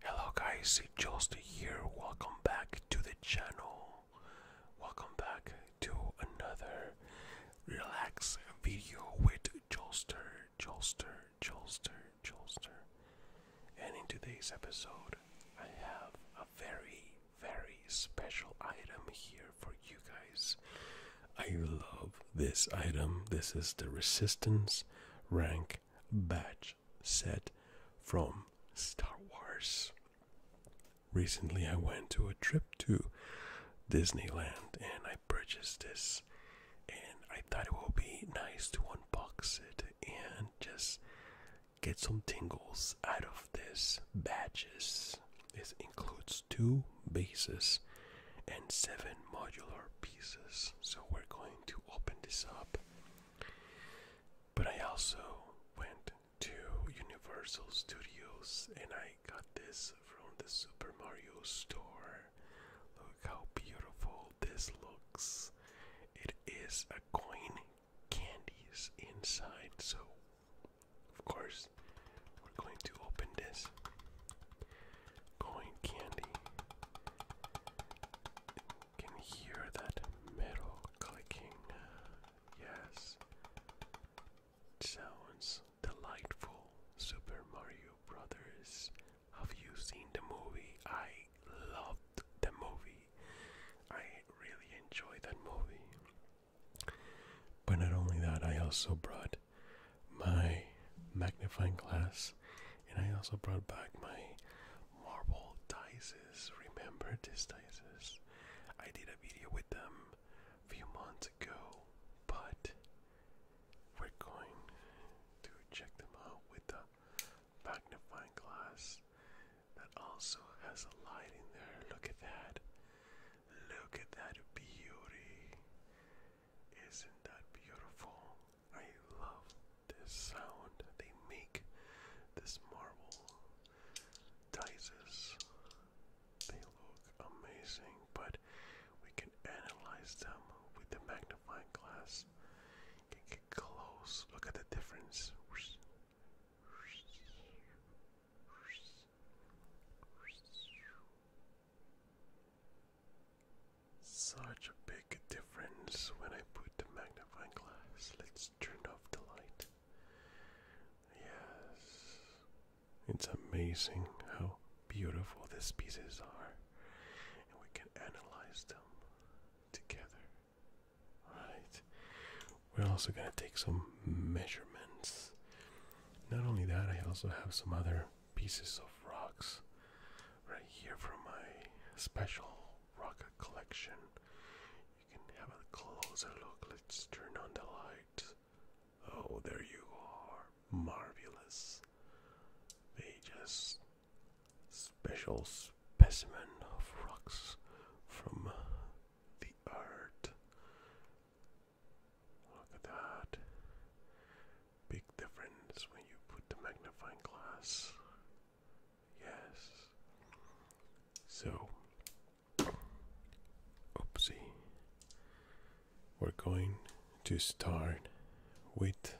Hello guys, it's Jolster here. Welcome back to the channel. Welcome back to another relax video with Jolster, Jolster, Jolster, Jolster. And in today's episode, I have a very, very special item here for you guys. I love this item. This is the Resistance Rank Badge. Set from Star Wars. Recently, I went to a trip to Disneyland and I purchased this, and I thought it would be nice to unbox it and just get some tingles out of this badges. This includes two bases and seven modular pieces. So we're going to open this up. But I also went to Universal Studios and I got this from the Super Mario store. Look how beautiful this looks. It is a coin candies inside. So, of course, we're going to open this. Going candy can hear that metal clicking. Yes. Sounds delightful. Super Mario Brothers. Have you seen the movie? I loved the movie. I really enjoyed that movie. But not only that, I also brought my magnifying glass and I also brought back my marble dices. Remember these dices? I did a video with them a few months ago, but we're going to check them out with the magnifying glass that also has a light in there. Look at that. Look at that beauty. Isn't that beautiful? I love this sound they make. This marble dices. They look amazing, but we can analyze them with the magnifying glass. get close. Look at the difference. Such a big difference when I put the magnifying glass. Let's turn off the light. Yes. It's amazing how beautiful these pieces are. And we can analyze them together. Alright. We're also going to take some measurements. Not only that, I also have some other pieces of rocks right here from my special rock collection. You can have a closer look. Let's turn on the light. Oh, there you are. Marvelous. They just special specimen of rocks from the earth. Look at that. Big difference when you put the magnifying glass. Yes. So, oopsie. We're going to start with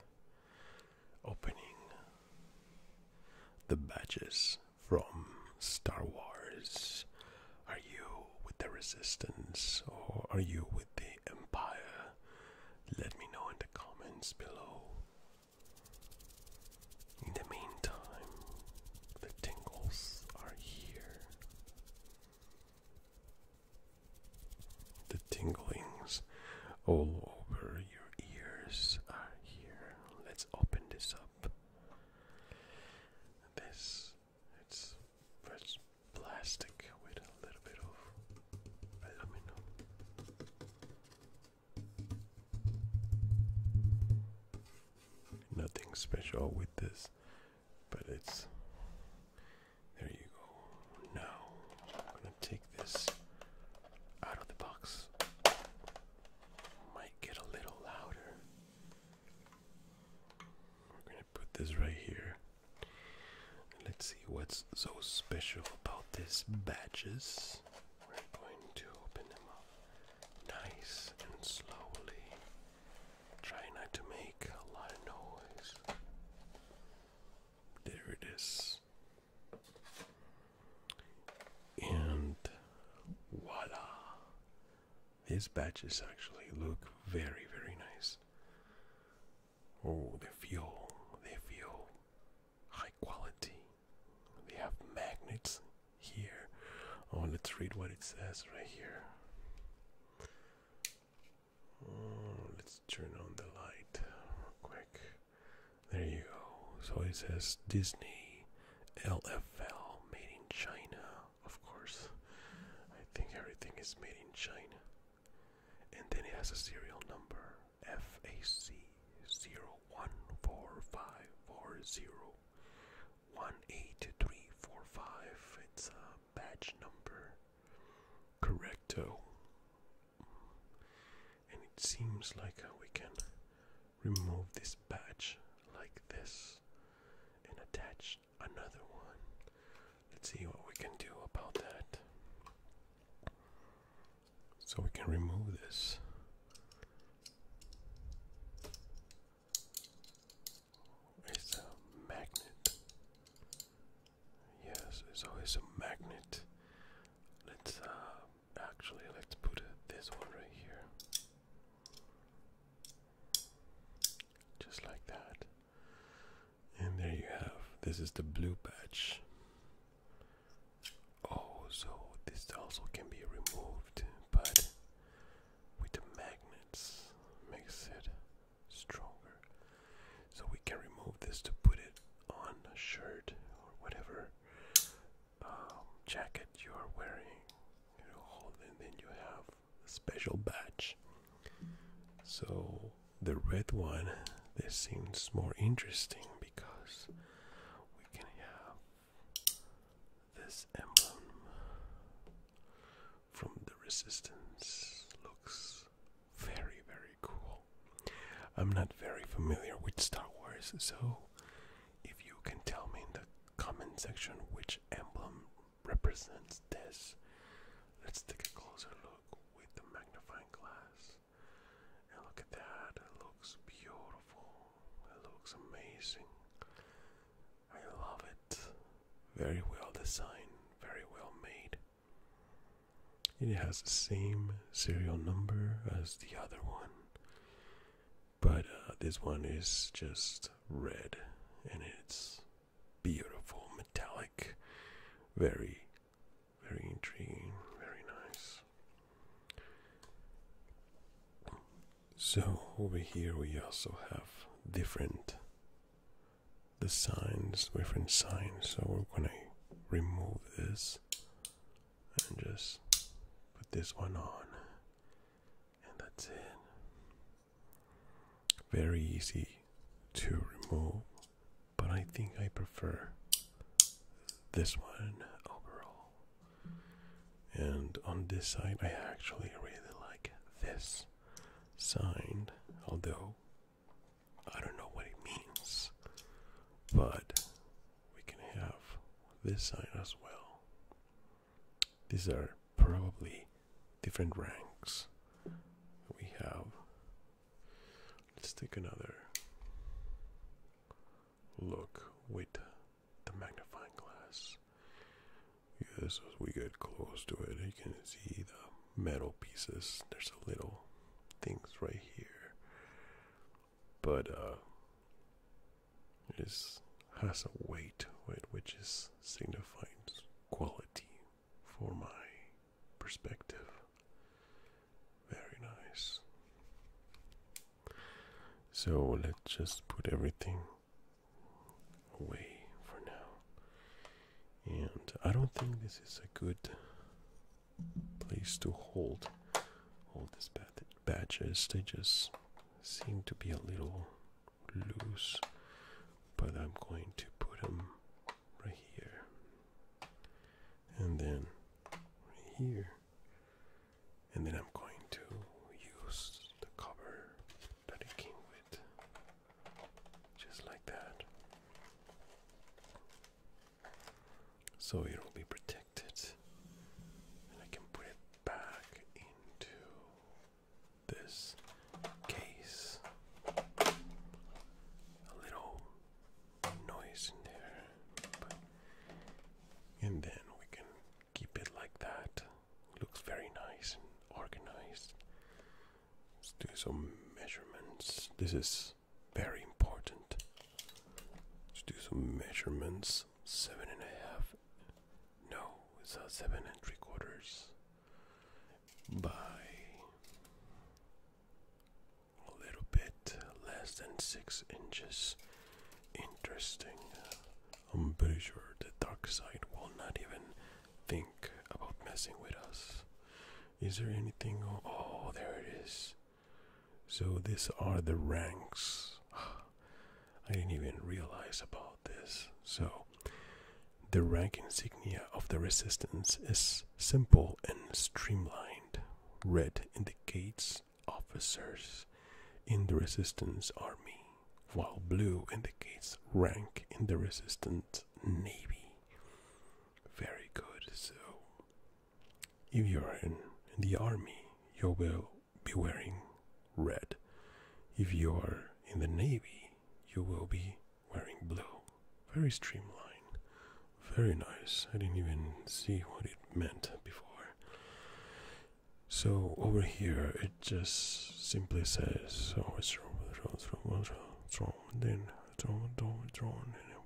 opening the badges from Star Wars. Are you with the Resistance or are you with? the Empire? Let me know in the comments below. In the meantime, the tingles are here. The tinglings all over your ears are here. Let's open this up. This it's pressed plastic with a little bit of aluminum. Nothing special with this, but it's there you go. Now I'm gonna take this out of the box. Might get a little louder put this right here. Let's see what's so special about these badges. We're going to open them up nice and slowly. Try not to make a lot of noise. There it is. And voila! These badges actually look very, very nice. Oh, they feel, they feel high quality. They have magnets here. Oh, let's read what it says right here. Oh, let's turn on the light quick. There you go. So it says Disney LFL made in China of course. I think everything is made in China. And then it has a serial number FAC 014540 It's a batch number. Correcto. And it seems like uh, we can remove this badge like this and attach another one. Let's see what we can do about that. So we can remove this. It's a magnet. Yes, it's always a magnet. Let's uh, actually let's put this one right here. Just like that. And there you have. This is the blue patch. Oh, so this also can be removed, but with the magnets makes it stronger. So we can remove this to put it on a shirt or whatever um, jacket you are wearing. You hold, and then you have special batch. So the red one, this seems more interesting because we can have this emblem from the resistance. Looks very, very cool. I'm not very familiar with Star Wars, so if you can tell me in the comment section which emblem represents this. Let's take a closer look with the magnifying glass. And look at that, it looks beautiful. It looks amazing. I love it. Very well designed, very well made. It has the same serial number as the other one but uh, this one is just red and it's beautiful metallic very very intriguing very nice so over here we also have different the signs different signs so we're gonna remove this and just put this one on and that's it. Very easy to remove, but I think I prefer this one overall. And on this side, I actually really like this sign, although I don't know what it means, but we can have this side as well. These are probably different ranks. We have. Let's take another look with the magnifying glass. Yes, as we get close to it, you can see the metal pieces. There's a little things right here but uh, it has a weight which is signifies quality for my perspective. Very nice. So let's just put everything away for now. And I don't think this is a good place to hold all these badges. They just seem to be a little loose, but I'm going to put them right here. And then right here. And then I'm going to use the cover that it came with. Just like that. So it'll be protected. And I can put it back into this case. A little noise in there. and then we can keep it like that. Looks very nice and organized. Let's do some measurements. This is very important. Let's do some measurements seven and a half. No, it's a seven and three quarters by a little bit less than six inches. Interesting. I'm pretty sure the dark side will not even think about messing with us. Is there anything? Oh, there it is. So these are the ranks. I didn't even realize about this. So the rank insignia of the resistance is simple and streamlined. Red indicates officers in the resistance army, while blue indicates rank in the resistance navy. Very good. So if you're in, in the army, you will be wearing red. If you are in the navy, you will be wearing blue. Very streamlined. Very nice. I didn't even see what it meant before. So over here it just simply says oh it's wrong with wrong it's wrong it's wrong then it's wrong it's wrong it's wrong and it's wrong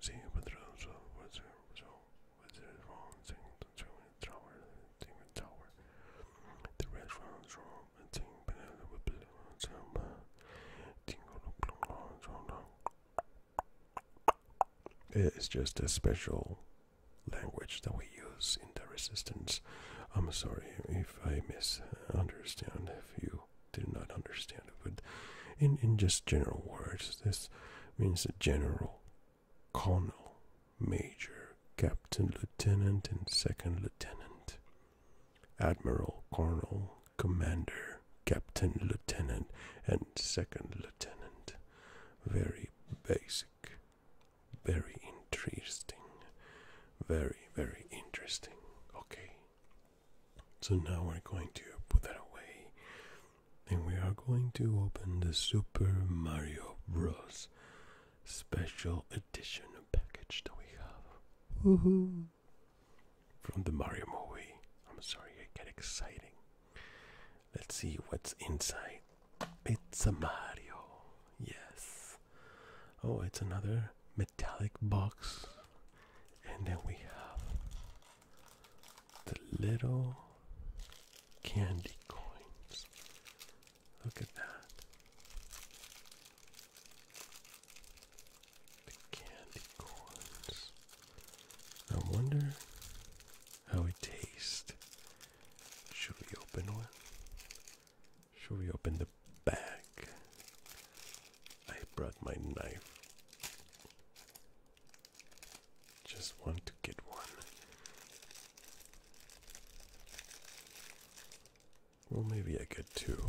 See, but it's wrong restaurant and tower, tower. The restaurant room and thing banana with some it's just a special language that we use in the resistance. I'm sorry if I misunderstand if you did not understand it, but in, in just general words, this means a general, colonel, major, captain, lieutenant, and second lieutenant, admiral, colonel, commander, captain, lieutenant, and second lieutenant. Very basic, very interesting, very, very interesting. Okay, so now we're going to put that away and we are going to open the Super Mario Bros. Special Edition package that we have. Woohoo! From the Mario movie. I'm sorry, I get exciting. Let's see what's inside. It's a Mario. Yes. Oh, it's another metallic box. And then we have the little candy coins. Look at that. The candy corns. I wonder how it tastes. Should we open one? Should we open the bag? I brought my knife. Just want to get one. Well, maybe I get two.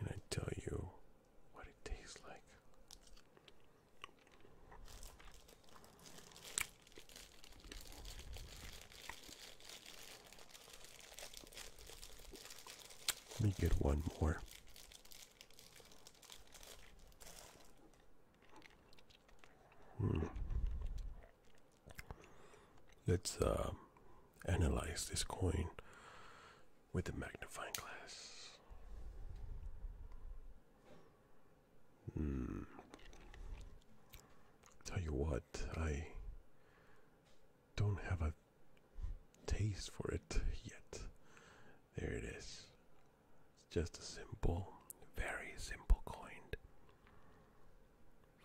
And I tell you what it tastes like. Let me get one more. Hmm. Let's uh, analyze this coin with the magnifying glass. Hmm. Tell you what, I don't have a taste for it yet. There it is. It's just a simple, very simple coin.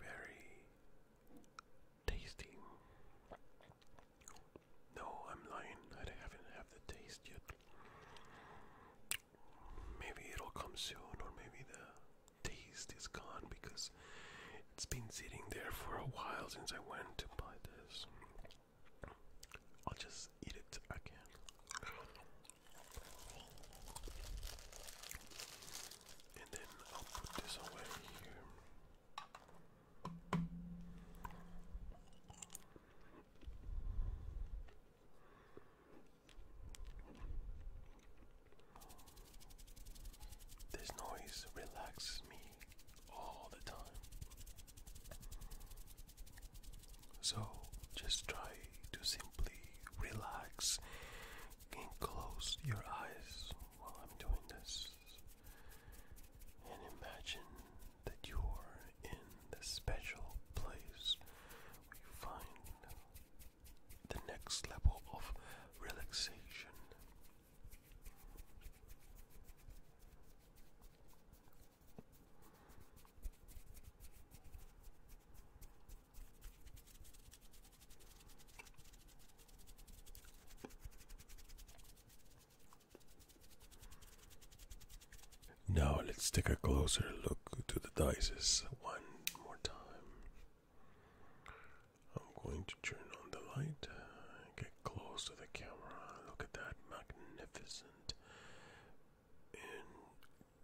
Very tasty. No, I'm lying. I haven't had the taste yet maybe it'll come soon, or maybe the taste is gone because it's been sitting there for a while since I went to buy this. I'll just eat it again. And then I'll put this away here. This noise relaxes me all the time. So just try to simply relax and close your eyes while I'm doing this. And imagine that you're in this special place where find the next level of relaxation. Now let's take a closer look to the dices one more time. I'm going to turn on the light, get close to the camera. Look at that magnificent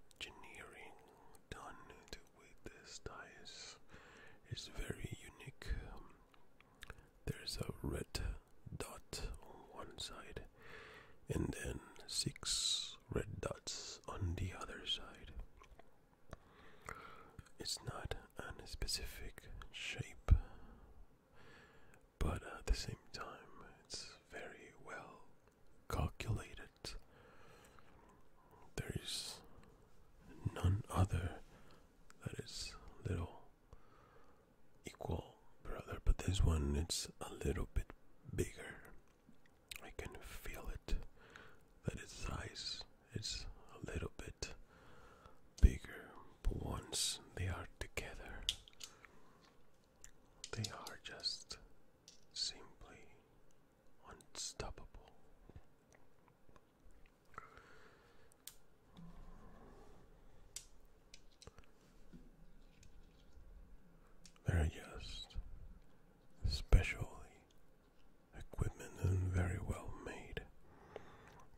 engineering done with this dice. It's very unique. There's a red dot on one side, and then six red dots on the other side. It's not a specific shape, but at the same time, it's very well calculated. There is none other that is little equal brother, but this one it's a little bit bigger I can feel it that its size is a little bit bigger, but once they are together, they are just simply unstoppable. Very are just specially equipment and very well made.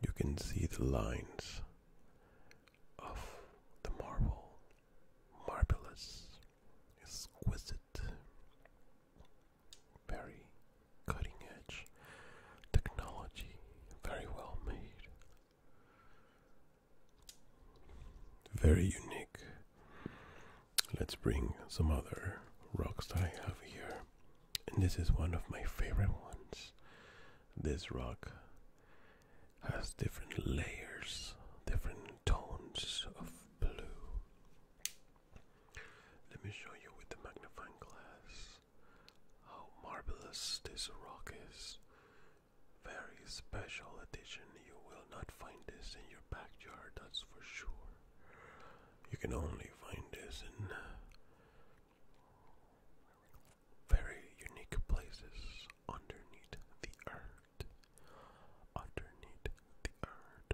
You can see the lines of the marble. Marvelous, exquisite, very cutting edge technology, very well made. Very unique. Let's bring some other rocks that I have here. And this is one of my favorite ones. This rock has different layers, different tones of blue. Let me show you with the magnifying glass how marvelous this rock is. Very special edition. You will not find this in your backyard, that's for sure. You can only find this in uh, very unique places underneath the earth. Underneath the earth.